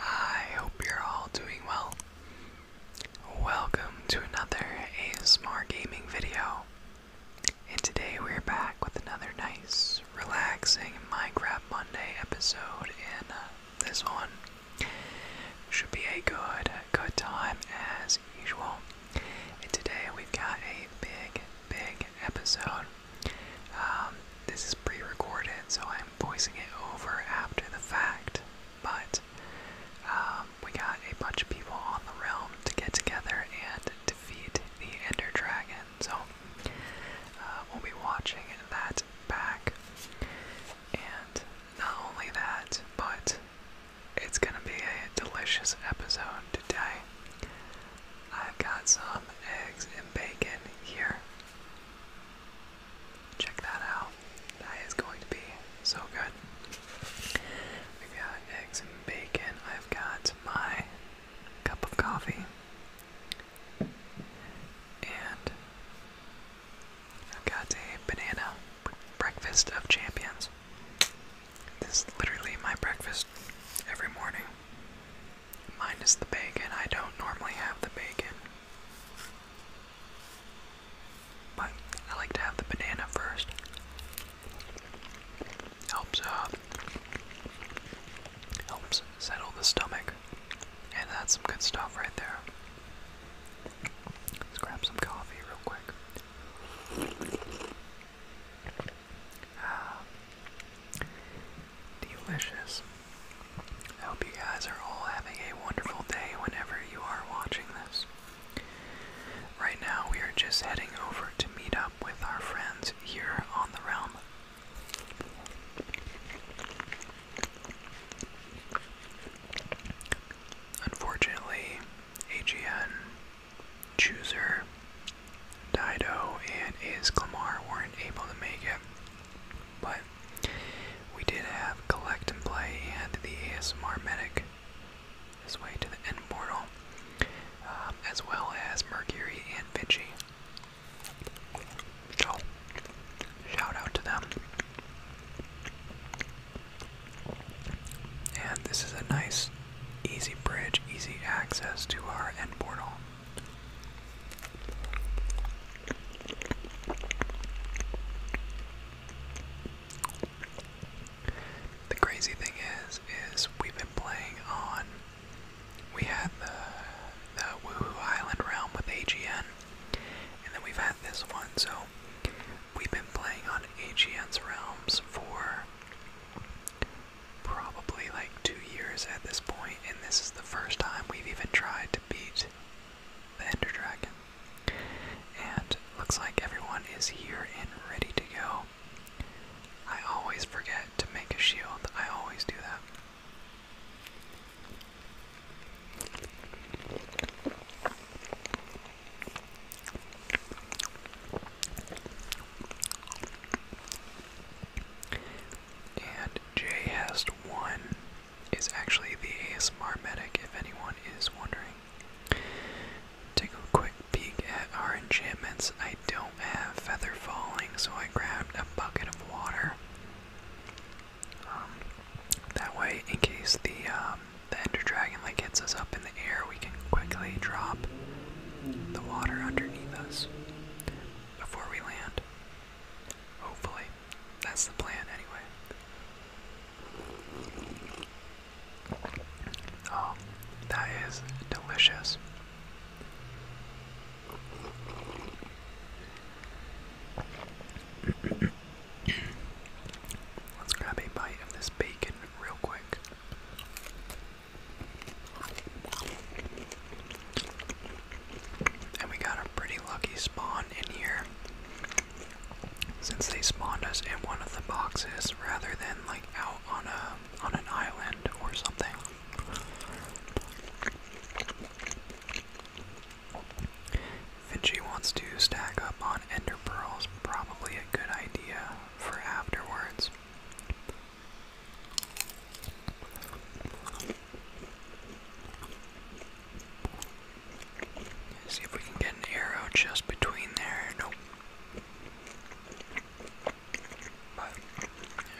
I hope you're all doing well. Welcome to another ASMR gaming video. And today we're back with another nice, relaxing Minecraft Monday episode. And uh, this one should be a good, good time as usual. And today we've got a big, big episode. Um, this is pre recorded, so I'm voicing it over after the fact. But um, we got a bunch of people on the realm to get together and defeat the Ender Dragon. So uh, we'll be watching that back. And not only that, but it's gonna be a delicious episode today. I've got some eggs and bacon here check that out. That is going to be so good. We've got eggs and bacon. I've got my cup of coffee. And I've got a banana breakfast of champions. This is literally my breakfast every morning. Minus the bacon. I don't normally have the bacon. I like to have the banana first. Helps uh helps settle the stomach. And that's some good stuff right there. Let's grab some coffee real quick. Ah. delicious. I hope you guys are all having a wonderful day whenever you are watching this. Right now, we are just heading over to meet up with our friends here on the realm. Unfortunately, AGN, Chooser, Dido, and Is weren't able to make it, but we did have collect and play and the ASMR medic this way to the end portal, um, as well as Mercury and Vinci. shout out to them. And this is a nice, easy bridge, easy access to our end portal. The crazy thing is, is we've been playing on. We had the the Woohoo Island realm with AGN, and then we've had this one. So we've been playing on AGN's realms for probably like two years at this point, and this is the first time we've even tried to beat the Ender Dragon. And looks like everyone is here and ready to go. I always forget to make a shield. I always do that. And J has one is actually the ASMR medic, if anyone is wondering. Take a quick peek at our enchantments. I don't have feather falling, so I grabbed a bucket of water. Um, that way, in case the um, the Ender Dragon like hits us up in the air, we can quickly drop the water underneath us before we land. Hopefully, that's the plan anyway. Oh, that is delicious. Let's grab a bite of this bacon real quick. And we got a pretty lucky spawn in here since they spawned us in one of the boxes rather than like out on a on an island or something. Vinci wants to stack up on ender pearls, probably a good idea for afterwards. See if we can get an arrow just between there. Nope.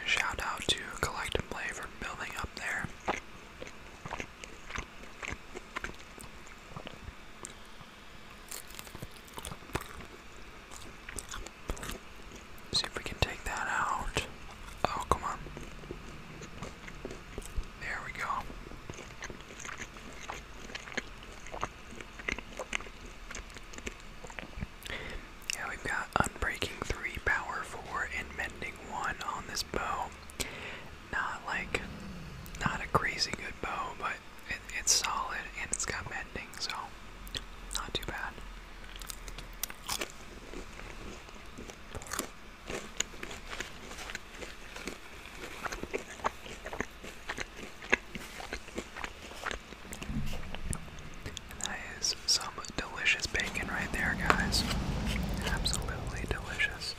shout out to Collect Play for building up there. See if we can take that out. Oh, come on. There we go. Yeah, we've got Unbreaking 3, Power 4, and Mending 1 on this bow. Not like, not a crazy good bow, but it's solid and it's got mending, so not too bad. That is some delicious bacon right there, guys. Absolutely delicious.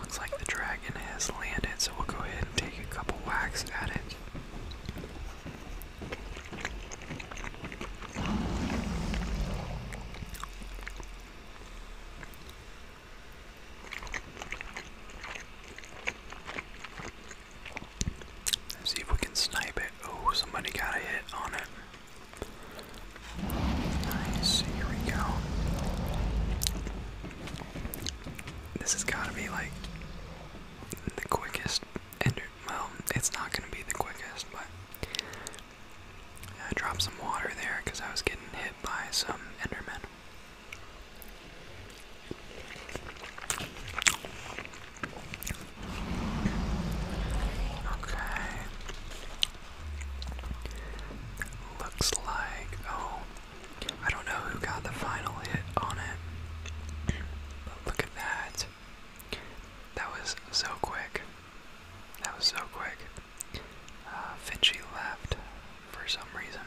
Looks like the dragon has landed, so we'll go ahead and take a couple whacks at it. Let's see if we can snipe it. Oh, somebody got a hit on it. Nice, here we go. This has got to be like the quickest Well, it's not going to be the quickest, but I dropped some water there because I was getting hit by some Endermen. Okay. Looks like. Oh. I don't know who got the final hit on it. But look at that. That was so quick. That was so quick. Uh, Finchie left for some reason.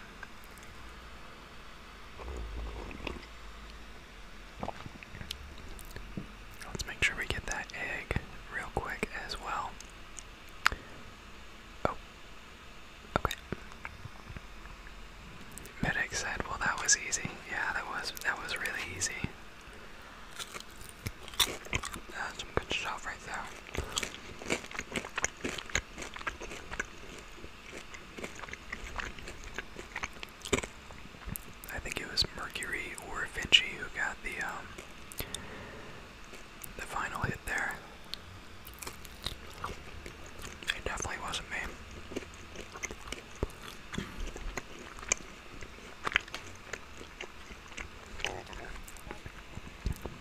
Let's make sure we get that egg real quick as well. Oh, okay. Medic said, "Well, that was easy. Yeah, that was that was really easy." That's some good stuff right there. I think it was Mercury or Vinci who got the um, the final hit there. It definitely wasn't me.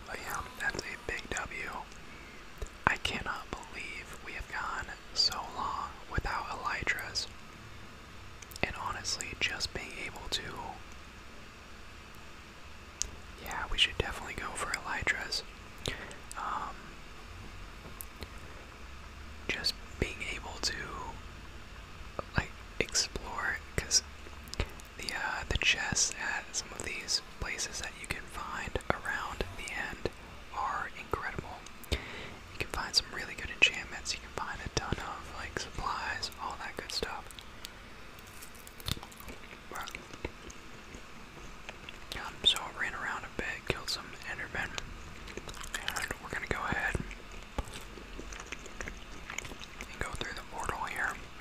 But yeah, that's a big W. I cannot believe we have gone so long without Elytras. And honestly, just being able to. Yeah, we should definitely go for Elytras. Um, just being able to, like, explore, because the uh, the chests at some of these places that you can find around the end are incredible. You can find some really good enchantments. You can find a ton of like supplies, all that good stuff. Um, so I ran around a bit, killed some endermen, and we're gonna go ahead and go through the portal here.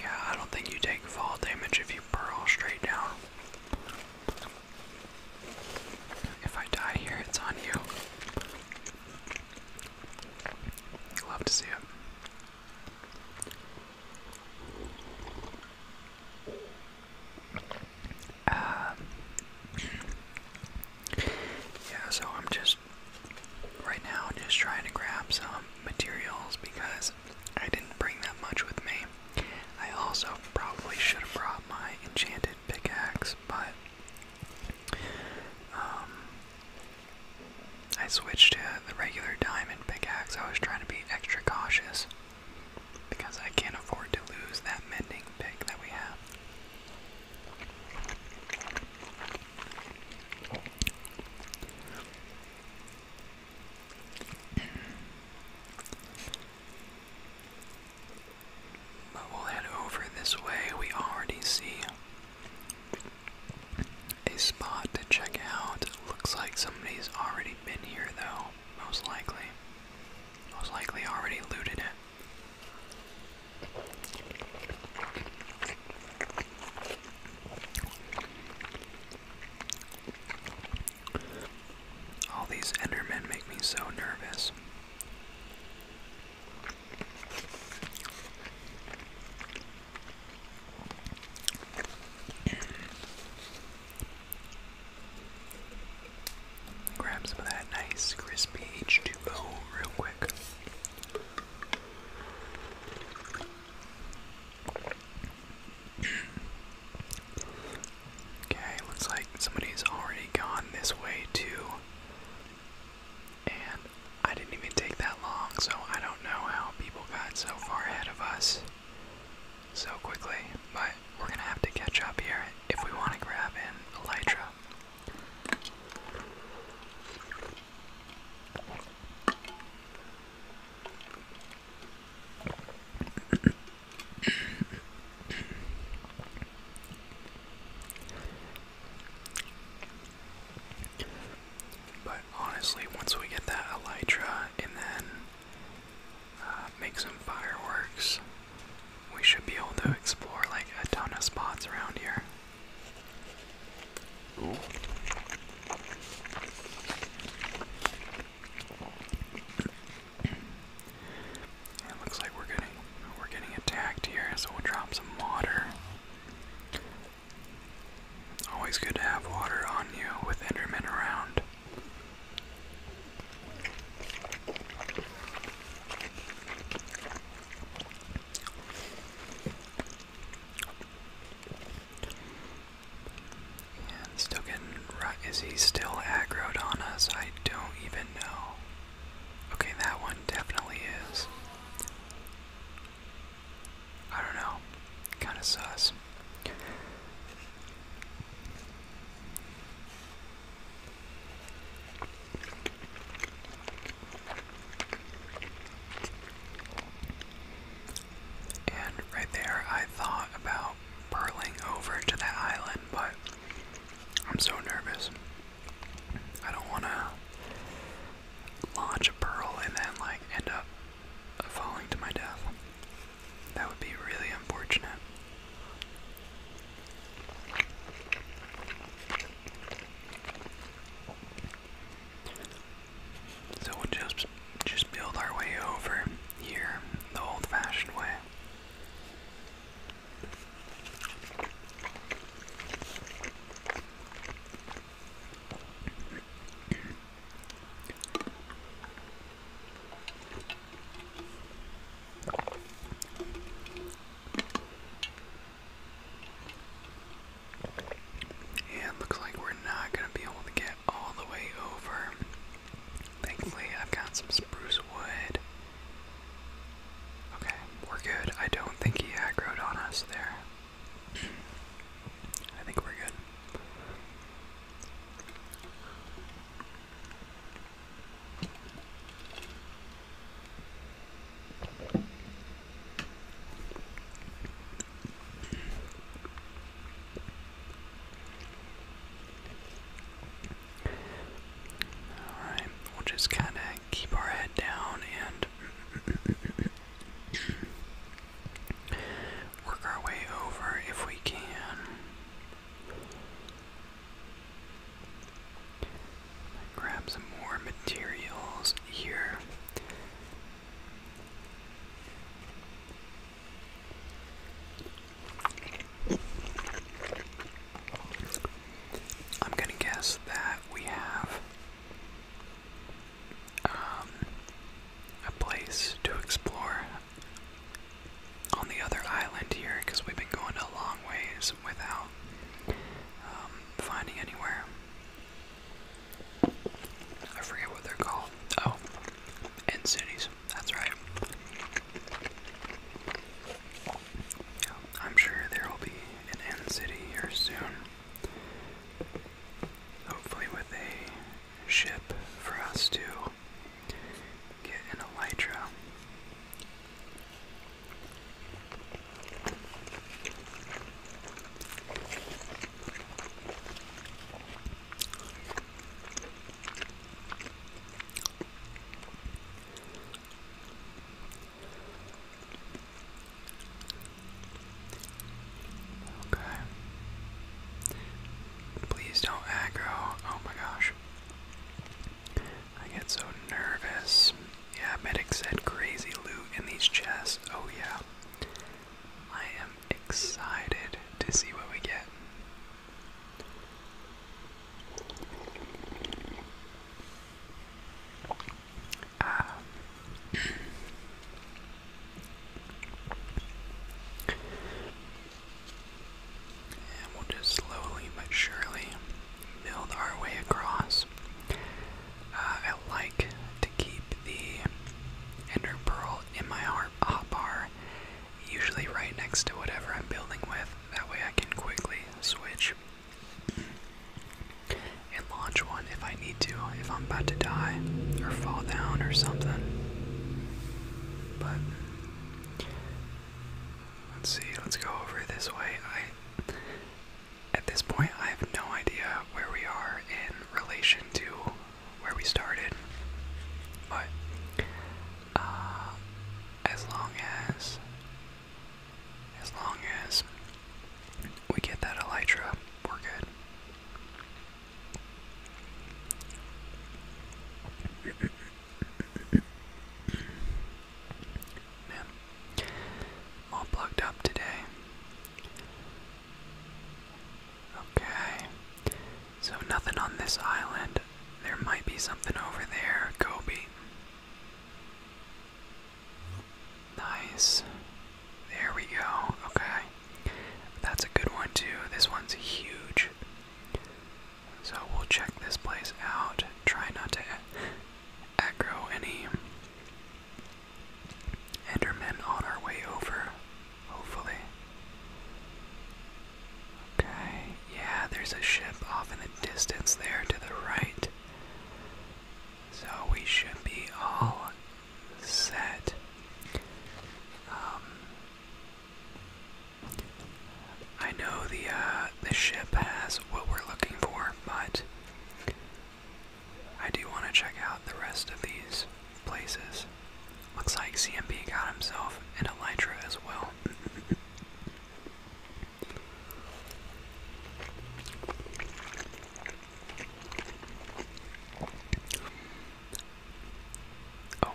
Yeah, I don't think you take fall damage if you burrow straight down. If I die here, it's on you. Love to see it. Um, yeah, so I'm just right now just trying to grab some materials because I didn't bring that much with me. I also probably should have brought my enchanted pickaxe, but um, I switched to the regular diamond pickaxe. I was trying to be extra cautious because I can't afford to lose that mending pick that we have. But we'll head over this way. We already see a spot to check out. Looks like somebody's already been here, though, most likely. Most likely already looted it. All these Endermen make me so nervous. Grab some of that nice crispy H2O real quick. Okay, looks like somebody's already gone this way too. And I didn't even take that long, so I don't know how people got so far ahead of us so quickly, but we're gonna have to catch up here if we want to grab an Elytra but honestly, once we get that elytra and then uh, make some fireworks, we should be able to explore like a ton of spots around here it looks like we're getting we're getting attacked here, so we'll drop some water. Always good to have water on you with Enderman around still getting right. Is he still aggroed on us? I don't even know. Okay, that one definitely is. I don't know. Kind of sus. And right there, I thought about burling over to that island, but I'm so nervous. I don't want to launch a pearl and then, like, end up falling to my death. That would be really unfortunate. So we'll just just build our way over here the old-fashioned way. And looks like we're not going to be able to get all the way over. Thankfully, I've got some spruce wood. Okay, we're good. I don't think he aggroed on us there. I think we're good. Alright, we'll just kind of keep our head down and work our way over if we can. Grab some more materials here. I'm gonna guess that we have um, a place to explore on the other island here because we've been going a long ways without um, finding anywhere. I forget what they're called. Oh, end cities. That's right. I'm sure there will be an end city here soon. Hopefully, with a ship for us to get an elytra Okay. Please don't aggro. Oh my gosh. I get so nervous. Yeah, medic said crazy loot in these chests. Oh, yeah. I am excited to see what we get. Ah. And we'll just slowly but surely milled our way across. Uh, I like to keep the ender pearl in my hotbar, usually right next to whatever I'm building with. That way I can quickly switch and launch one if I need to, if I'm about to die or fall down or something. But let's see, let's go over this way. At this point, I have no idea where we are in relation to where we started, but uh, as long as as long as we get that elytra, we're good all plugged up today. Okay, so nothing on this island. There might be something over there, Kobe. Nice. There we go. Okay. That's a good one, too. This one's huge. So we'll check this place out. Try not to aggro any Enderman on our way over, hopefully. Okay, yeah, there's a ship off in the distance there to the right. So we should be all set. Um, I know the uh, the ship has what we're looking for, but I do want to check out the rest of these places. Looks like CMP got himself an Elytra as well. oh,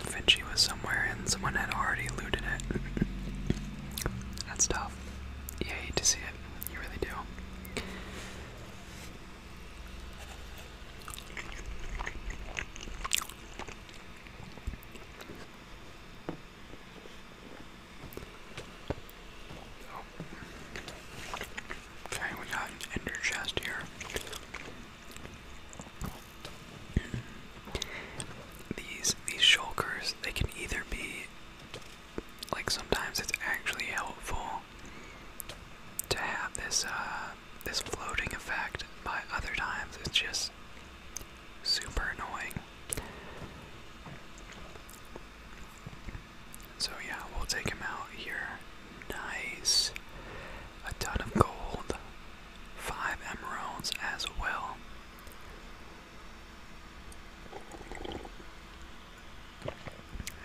Finchy was somewhere and someone had already looted it. That's tough you hate to see it. You really do. Oh. Okay, we got an chest here. These these shulkers, they can either be like sometimes it's actually helpful to have this uh this floating effect but other times it's just super annoying so yeah we'll take him out here nice a ton of gold five emeralds as well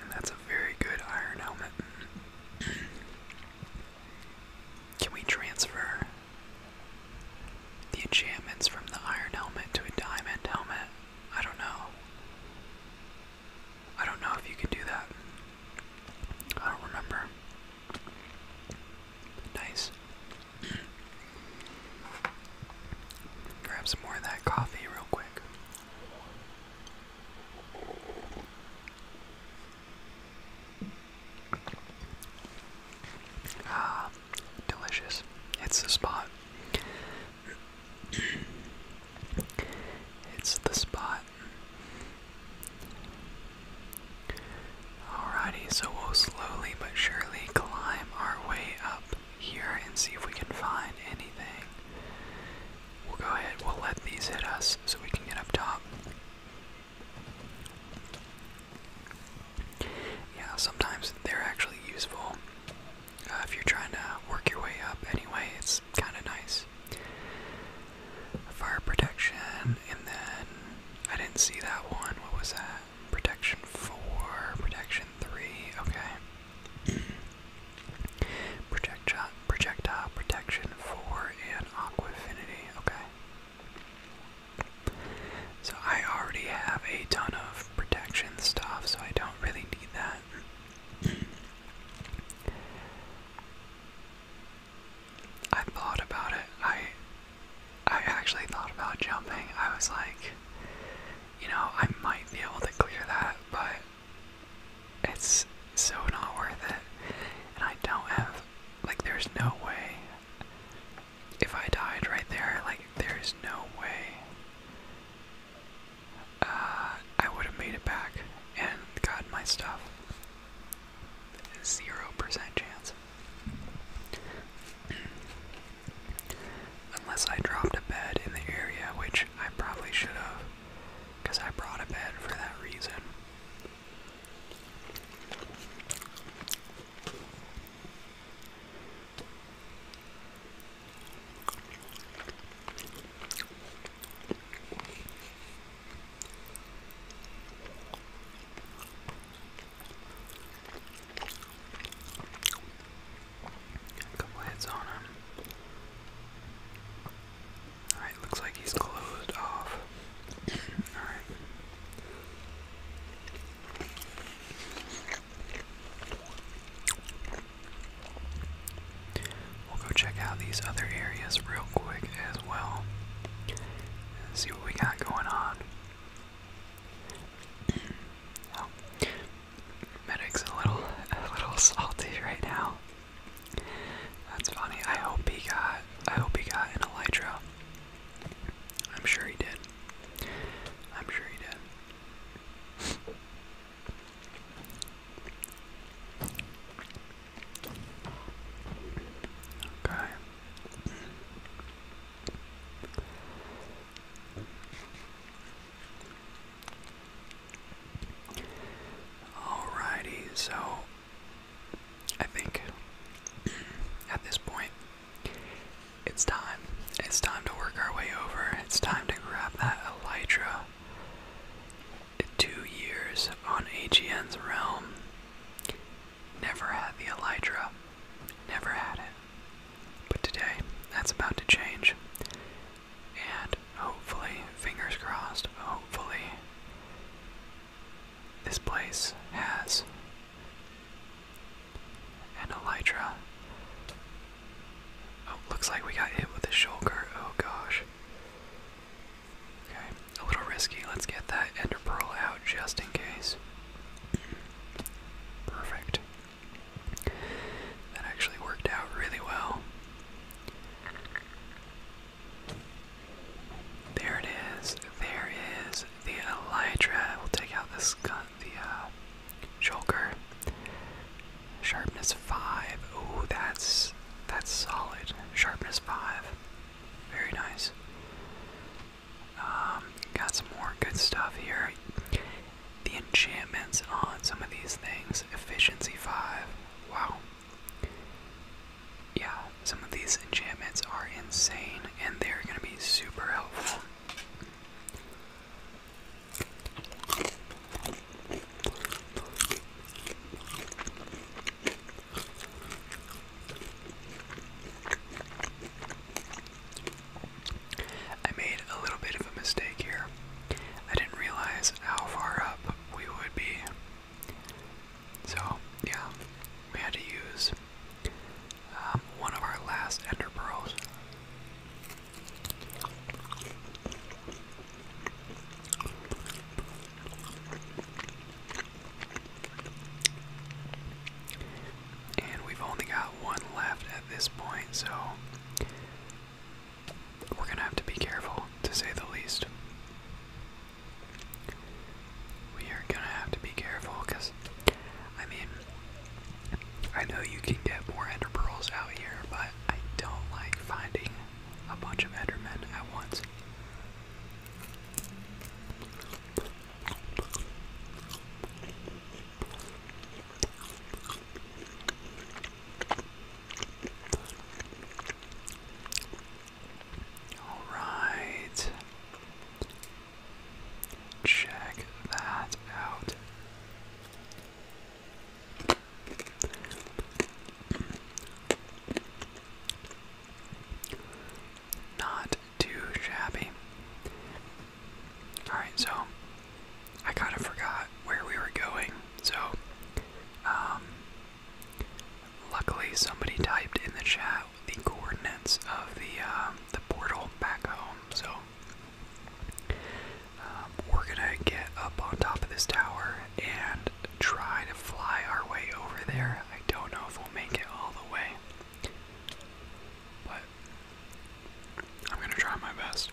and that's a very good iron helmet. Can we transfer the enchantments from the iron helmet to a diamond helmet? I don't know. I don't know if you can do that. I don't remember. Nice. Grab some more of that coffee real quick. Ah, delicious. It's the spot. it's the spot. Alrighty, so we'll slowly but surely climb our way up here and see if we can find anything. We'll go ahead, we'll let these hit us so we can get up top. Yeah, sometimes they're actually useful. Uh, if you're trying to work your way up anyway, it's kind of nice. Fire protection, and then I didn't see that one. What was that? protection 4, protection 3, okay. Projectile, uh, projectile uh, protection 4, and aqua affinity, okay. So I already have a ton of protection stuff, so I don't really need that. I thought about it. I I actually thought about jumping. I was like, you know, I might be able to clear that, but it's so not worth it. And I don't have, like, there's no way. If I died right there, like, there's no way uh, I would have made it back and got my stuff. Zero percent chance. Unless I dropped a bed in the area, which I probably should have, because I brought a bed for that reason. A couple hits on him. Alright, looks like he's closed off. Alright. We'll go check out these other areas real quick as well. see what we got going on. Medic's a little, a little salty right now. That's funny. I hope he got, I hope he got an Elytra. I'm sure he did. I'm sure he did. Okay. Alrighty, so I think at this point it's time. It's time to work our way over. It's time to grab that Elytra. Two years on AGN's realm. Never had the Elytra. Never had it. But today, that's about to change. And hopefully, fingers crossed, hopefully, this place has an elytra. Oh, looks like we got hit with a shulker. Oh gosh. Okay, a little risky. Let's get that ender pearl out just in case. Perfect. That actually worked out really well. There it is. There is the Elytra. We'll take out this gun, the uh, Sharpness five. Ooh, that's that's solid. Sharpness five. Very nice. Um, got some more good stuff here the enchantments on some of these things. Efficiency 5. Wow. Yeah, some of these enchantments are insane and they're going to be super helpful. I made a little bit of a mistake here. I didn't realize how far up we would be. So, yeah, we had to use um, one of our last ender pearls. And we've only got one left this point, so we're going to have to be careful, to say the least. We are going to have to be careful because, I mean, I know you can get more ender pearls out here, but I don't like finding a bunch of endermen at once. All right. Check that out. Not too shabby. Alright, so I kind of forgot where we were going. So, um, luckily somebody typed in the chat the coordinates of the um, the portal back home. So, um, we're gonna get up on top of this tower and try to fly our way over there. I don't know if we'll make it all the way, but I'm gonna try my best.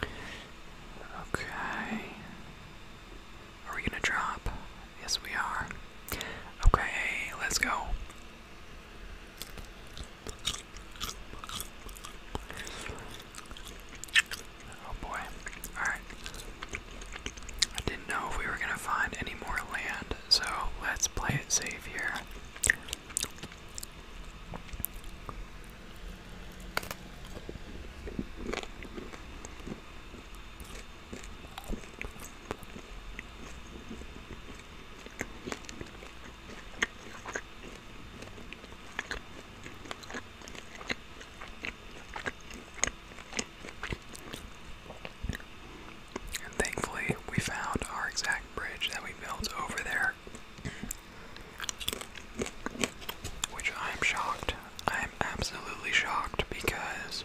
Okay. Are we gonna drop? Yes, we are. Okay, let's go. Oh boy. Alright. I didn't know if we were gonna find any more land, so let's play it safe here. And thankfully, we found our exact bridge that we built over there. Which I am shocked. I am absolutely shocked because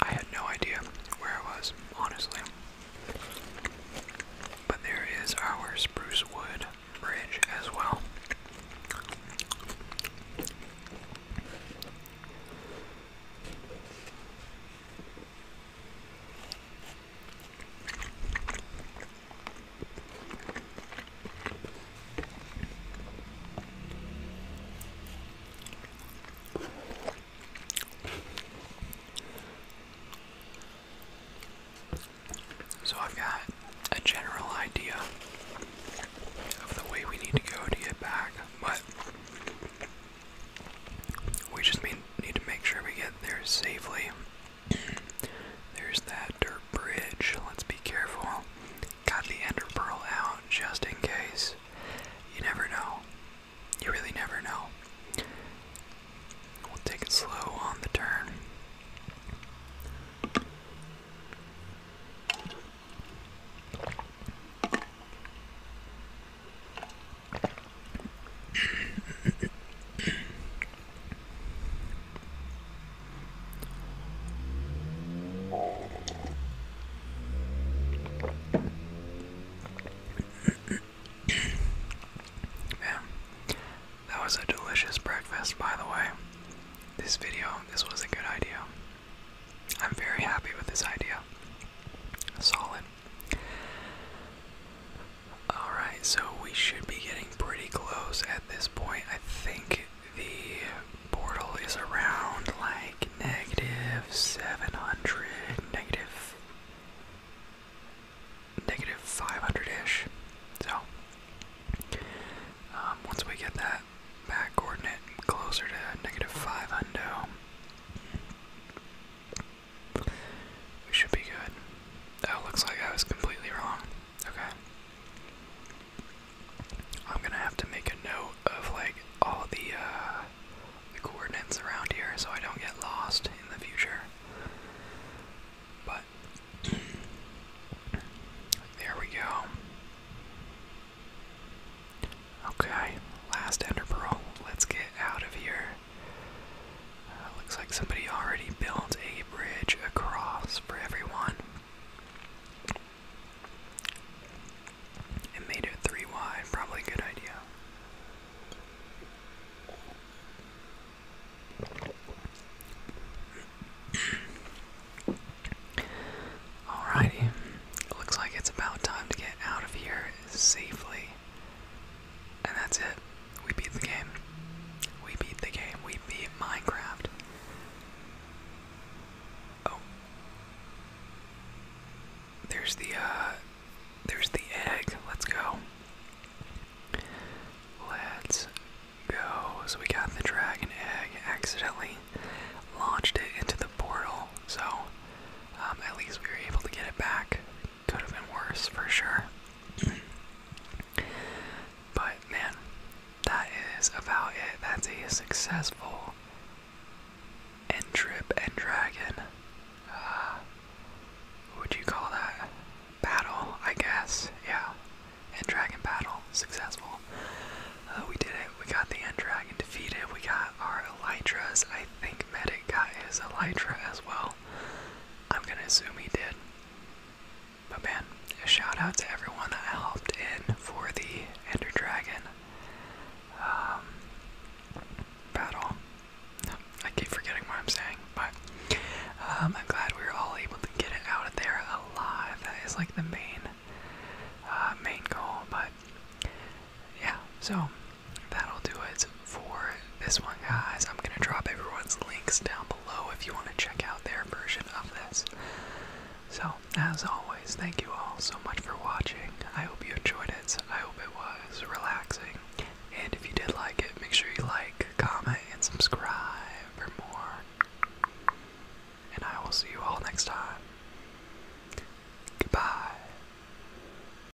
I had no idea where I was, honestly. But there is our spruce wood bridge as well. So I've got a general idea of the way we need to go to get back, but we just need to make sure we get there safely. There's that dirt bridge. Let's be careful. Got the ender pearl out just in case. You never know. You really never know. We'll take it slow on the turn. That was a delicious breakfast, by the way. This video, this was a good idea. I'm very happy with this idea. Solid. Alright, so we should be getting pretty close at this point. I think the portal is around like negative 700, negative, negative 500 ish. So, um, once we get that back coordinate closer to negative 5 undo, we should be good. Oh, looks like I was completely wrong. Okay. I'm gonna have to make a note of like all the uh, coordinates around here so I don't get lost in the future. But there we go. Okay, last ender pearl. Let's get out of here. Uh, looks like somebody already built a bridge across for everyone. And made it three wide, probably a good idea. Alrighty, it looks like it's about time to get out of here safely. And that's it. We beat the game. We beat the game. We beat Minecraft. Oh. There's the uh there's the egg. Let's go. Let's go. So we got the dragon egg. Accidentally launched it into the portal. So um, at least we were able to get it back could have been worse for sure. but man, that is about it. That's a successful end trip and dragon. Uh, what would you call that? Battle, I guess. Yeah. End dragon battle. Successful. Uh, we did it. We got the end dragon defeated. We got our Elytras. I think Medic is his Elytra as well. I'm gonna assume he did. But man, a shout out to everyone that helped in for the Ender Dragon um, battle. I keep forgetting what I'm saying, but um, I'm glad we were all able to get it out of there alive. That is like the main, uh, main goal. But yeah, so that'll do it for this one, guys. I'm gonna drop everyone's links down below if you want to check out their version of this. So, as always, thank you all so much for watching. I hope you enjoyed it. I hope it was relaxing. And if you did like it, make sure you like, comment, and subscribe for more. And I will see you all next time. Goodbye.